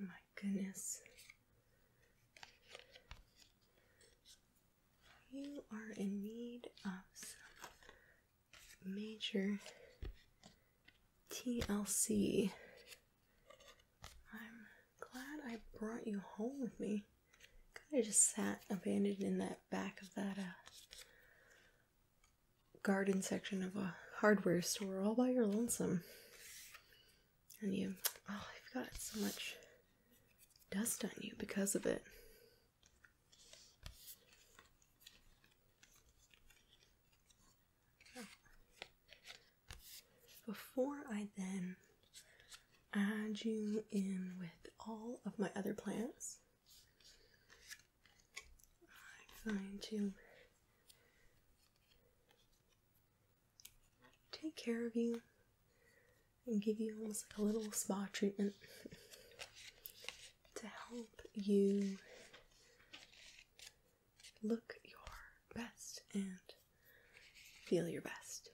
Oh my goodness. You are in need of some major TLC. I'm glad I brought you home with me kind of just sat abandoned in that back of that uh, garden section of a hardware store all by your lonesome. And you, oh, you've got so much dust on you because of it. Before I then add you in with all of my other plants, I'm going to take care of you and give you almost like a little spa treatment to help you look your best and feel your best.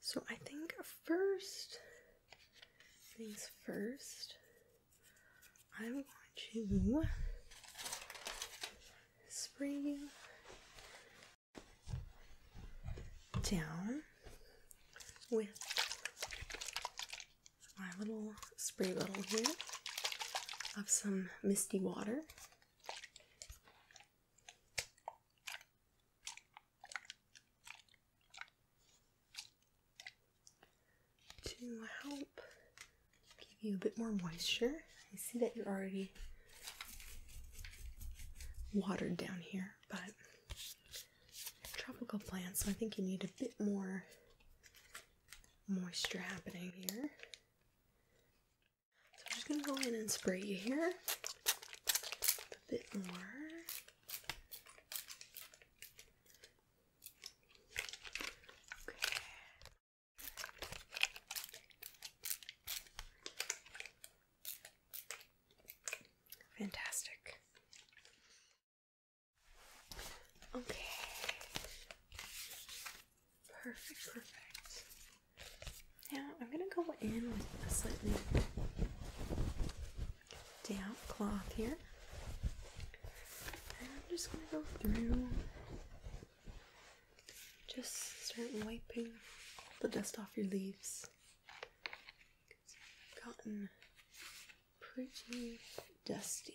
So I think first things first, I I'm going to spray down with my little spray bottle here of some misty water to help give you a bit more moisture. I see that you're already watered down here, but tropical plants, so I think you need a bit more moisture happening here. So I'm just gonna go in and spray you here a bit more. Okay. Fantastic. Okay. Perfect, perfect. Now I'm going to go in with a slightly damp cloth here. And I'm just going to go through, just start wiping all the dust off your leaves. It's gotten pretty dusty.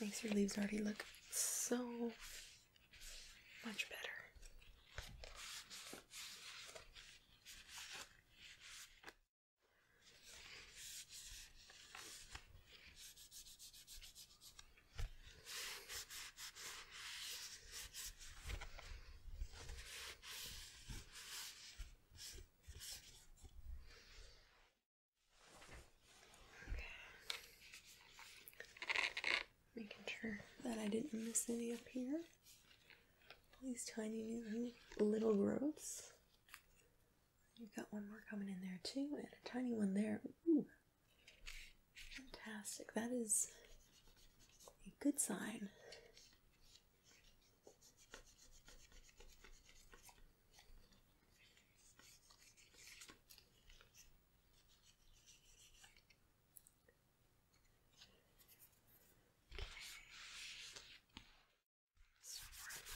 Makes your leaves already look so much better. Making sure that I didn't miss any up here. All these tiny little growths. You've got one more coming in there too, and a tiny one there. Ooh. Fantastic. That is a good sign.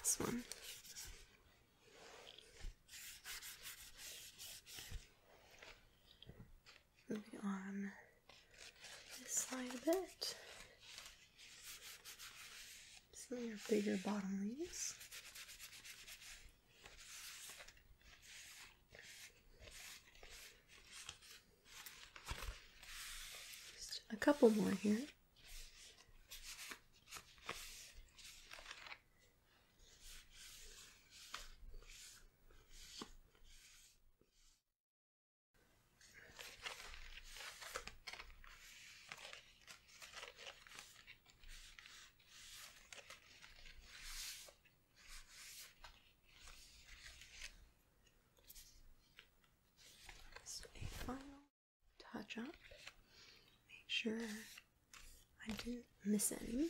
So we this one. Moving on this side a bit. Some of your bigger bottom leaves. Just a couple more here final touch up. Make sure I didn't miss any.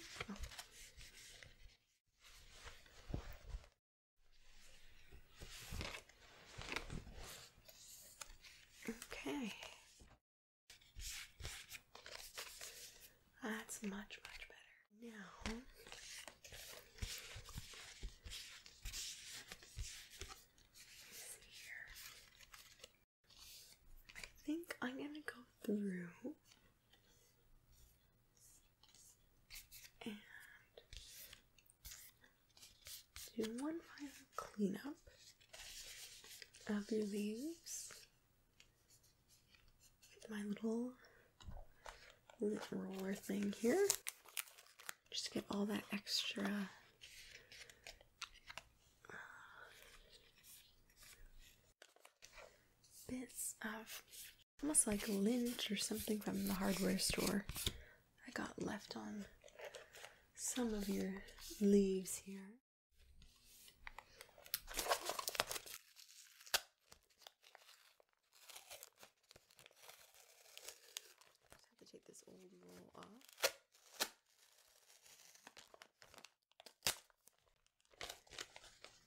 Okay. That's much, much better. Now, I think I'm going to go through and do one final cleanup of your leaves with my little lint roller thing here. Just get all that extra uh, bits of almost like lint or something from the hardware store. I got left on some of your leaves here. Just have to take this old roll off.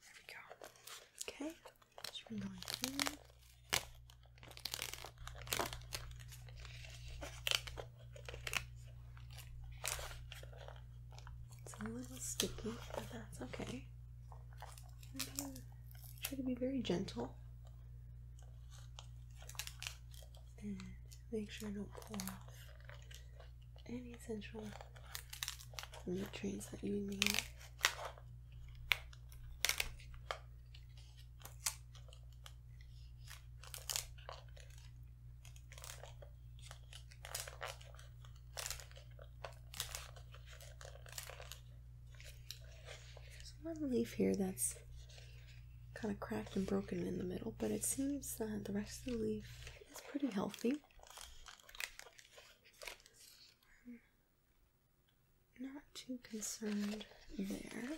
There we go. Okay. Just from going here. It's a little sticky, but that's okay. try to be very gentle. And make sure you don't pull off any essential nutrients that you need. There's one leaf here that's kind of cracked and broken in the middle, but it seems that the rest of the leaf is pretty healthy. Not too concerned there.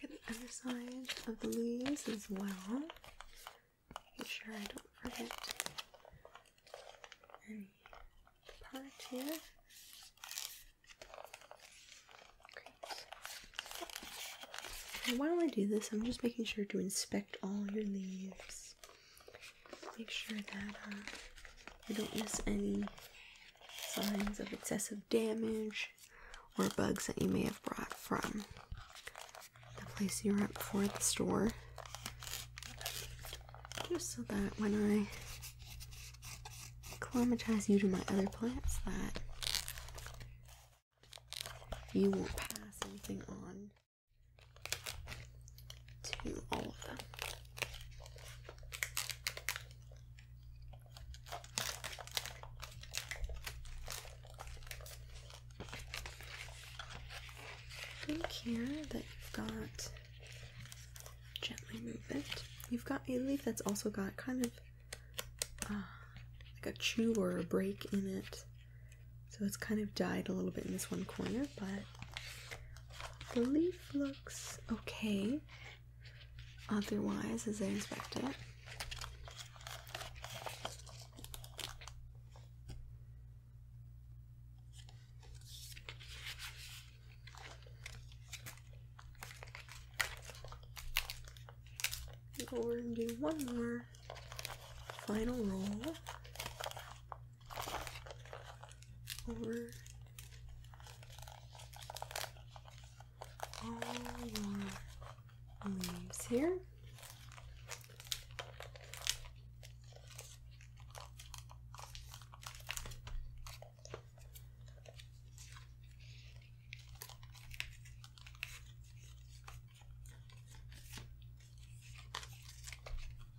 Check the other side of the leaves as well. Make sure I don't forget any part here. Great. while I do this, I'm just making sure to inspect all your leaves. Make sure that uh, you don't miss any signs of excessive damage or bugs that you may have brought from the place you were at before the store. Just so that when I acclimatize you to my other plants that you won't pass anything on to all of them. Don't that you've got gently move it. You've got a leaf that's also got kind of uh, like a chew or a break in it. So it's kind of died a little bit in this one corner but the leaf looks okay otherwise as I inspect it. Go over and do one more final roll over all your leaves here.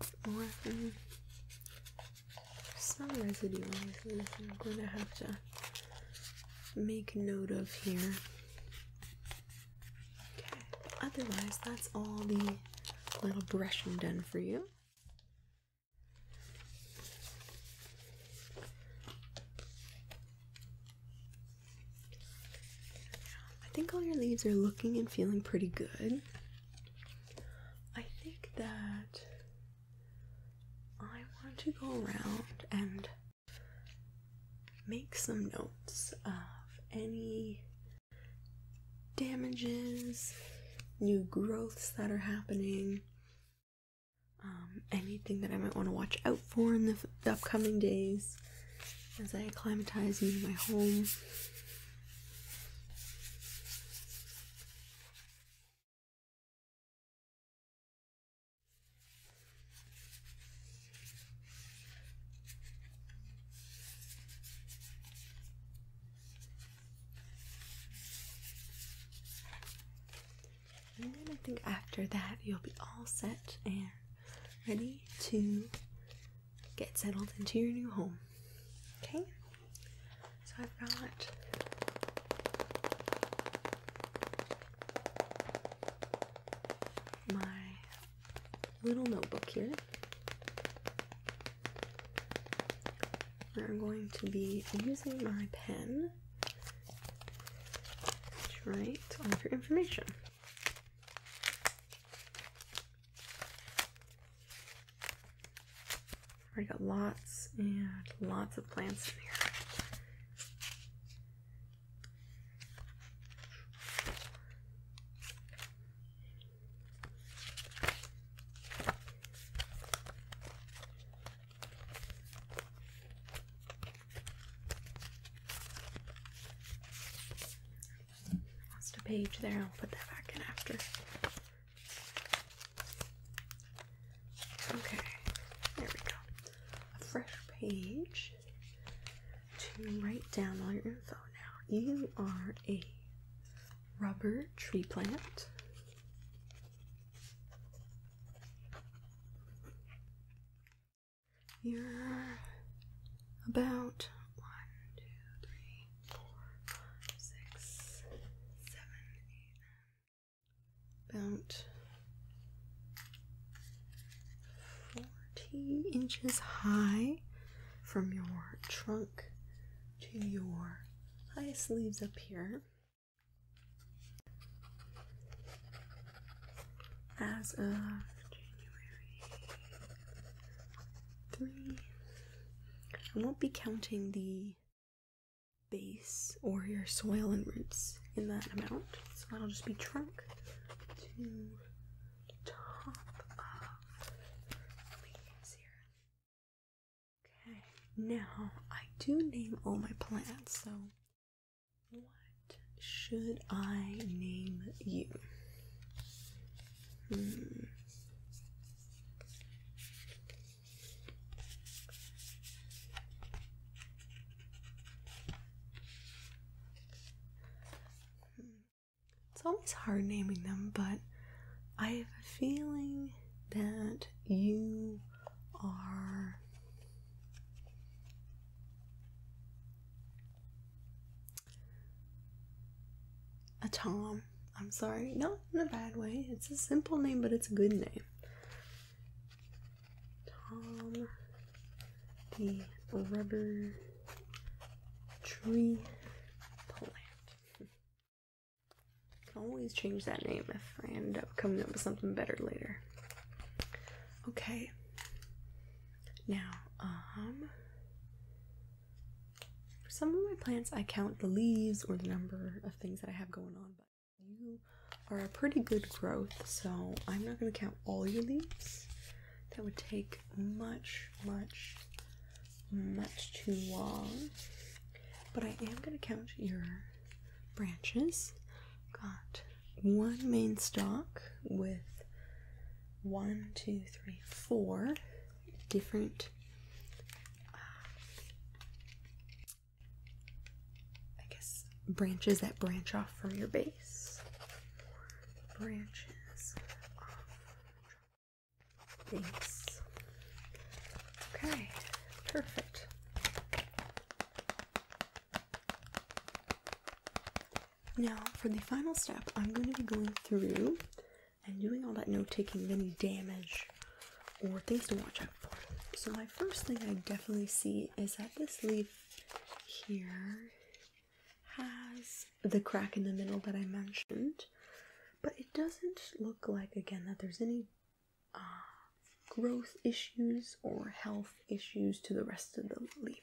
some residue noises I'm going to have to make note of here. Okay, otherwise, that's all the little brushing done for you. I think all your leaves are looking and feeling pretty good. I think that I want to go around and make some notes of any damages, new growths that are happening, um, anything that I might want to watch out for in the upcoming days as I acclimatize into my home. I think after that you'll be all set and ready to get settled into your new home. Okay, so I've got my little notebook here. We're going to be using my pen to write all of your information. Already got lots and lots of plants in here. Lost a page there. I'll put that back in after. Okay, there we go. A fresh page to write down all your info now. You are a rubber tree plant. You're about one, two, three, four, five, six, seven, eight, nine. About forty inches high from your trunk to your high leaves up here as of January 3. I won't be counting the base or your soil and roots in that amount, so that'll just be trunk to top of leaves here. Okay, now I do name all my plants, so what should I name you? Hmm. It's always hard naming them, but I have a feeling that you are a Tom. I'm sorry, not in a bad way. It's a simple name, but it's a good name. Tom the Rubber Tree Plant. Can always change that name if I end up coming up with something better later. Okay, now, for um, some of my plants, I count the leaves or the number of things that I have going on, but you are a pretty good growth, so I'm not going to count all your leaves. That would take much, much, much too long. But I am going to count your branches. Got one main stalk with one, two, three, four different. Uh, I guess branches that branch off from your base. Branches off Okay, perfect. Now, for the final step, I'm going to be going through and doing all that note taking of any damage or things to watch out for. So, my first thing I definitely see is that this leaf here has the crack in the middle that I mentioned, but it doesn't look like, again, that there's any uh, growth issues or health issues to the rest of the leaf.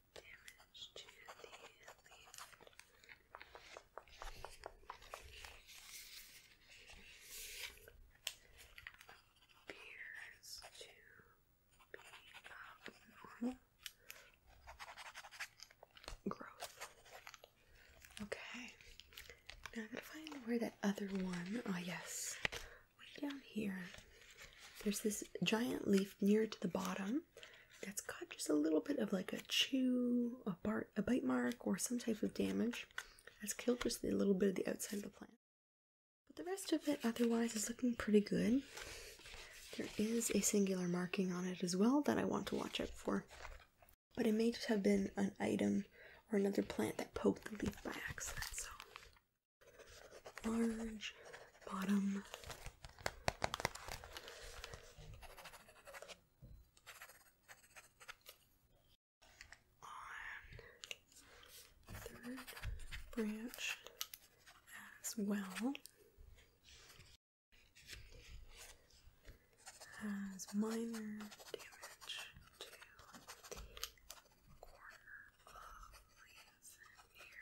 Appears to be abnormal growth. Okay, now I gotta find where that other one. Oh yes, way down here. There's this giant leaf near to the bottom that's got just a little bit of like a chew, a bark, a bite mark, or some type of damage that's killed just a little bit of the outside of the plant. But the rest of it otherwise is looking pretty good. There is a singular marking on it as well that I want to watch out for. But it may just have been an item or another plant that poked the leaf by accident. So large bottom on third branch as well has minor damage to the corner of the here.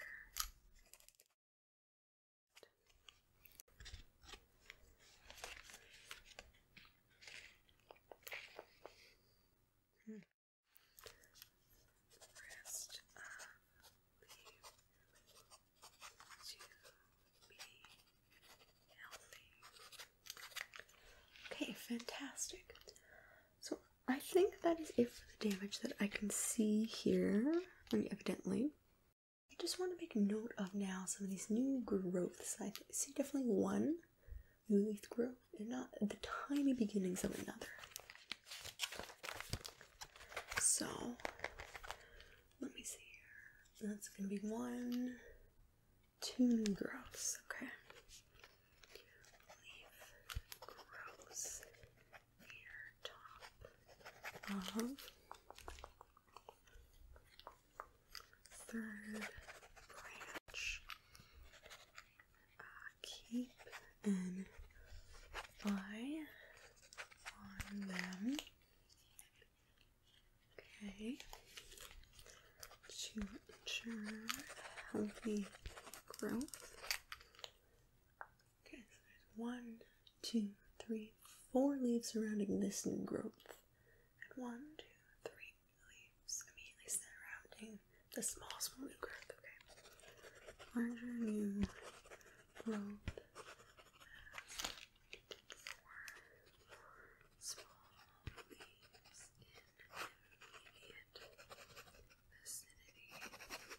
Okay, fantastic. So I think that is it for the damage that I can see here and evidently. I just want to make note of now some of these new growths. I see definitely one new leaf growth and not the tiny beginnings of another. So let me see here. That's going to be one, two new growths. Okay inner top of third branch. Uh, keep an eye on them. Okay, to ensure healthy growth Okay, so there's one, two, three, four leaves surrounding this new growth. And one, two, three leaves immediately surrounding the small, small new growth. Okay. Larger new growth. vicinity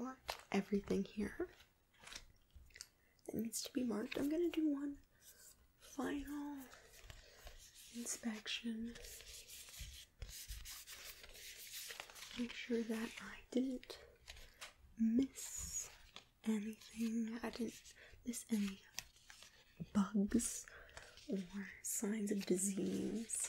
I everything here that needs to be marked. I'm going to do one final inspection. Make sure that I didn't miss anything. I didn't miss any bugs or signs of disease.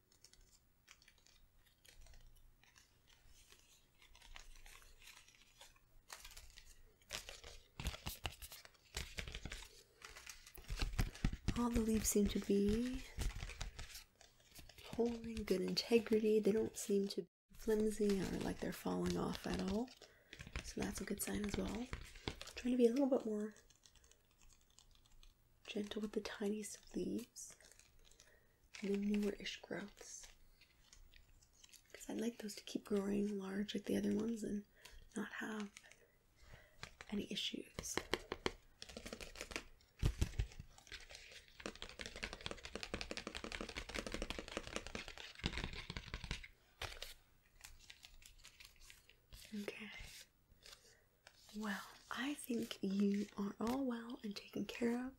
All the leaves seem to be holding good integrity. They don't seem to be flimsy or like they're falling off at all. So that's a good sign as well. trying to be a little bit more gentle with the tiniest leaves. The newer-ish growths. Because I'd like those to keep growing large like the other ones and not have any issues. Okay, well, I think you are all well and taken care of.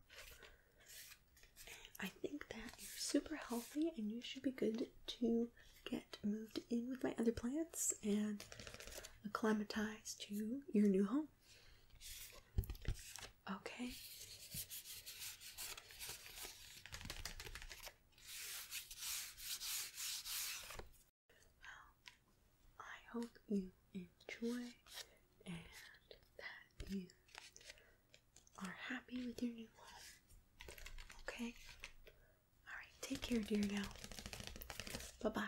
I think that you're super healthy and you should be good to get moved in with my other plants and acclimatized to your new home. Okay. I hope you enjoy and that you are happy with your new home. Okay? Alright, take care, dear now. Bye bye.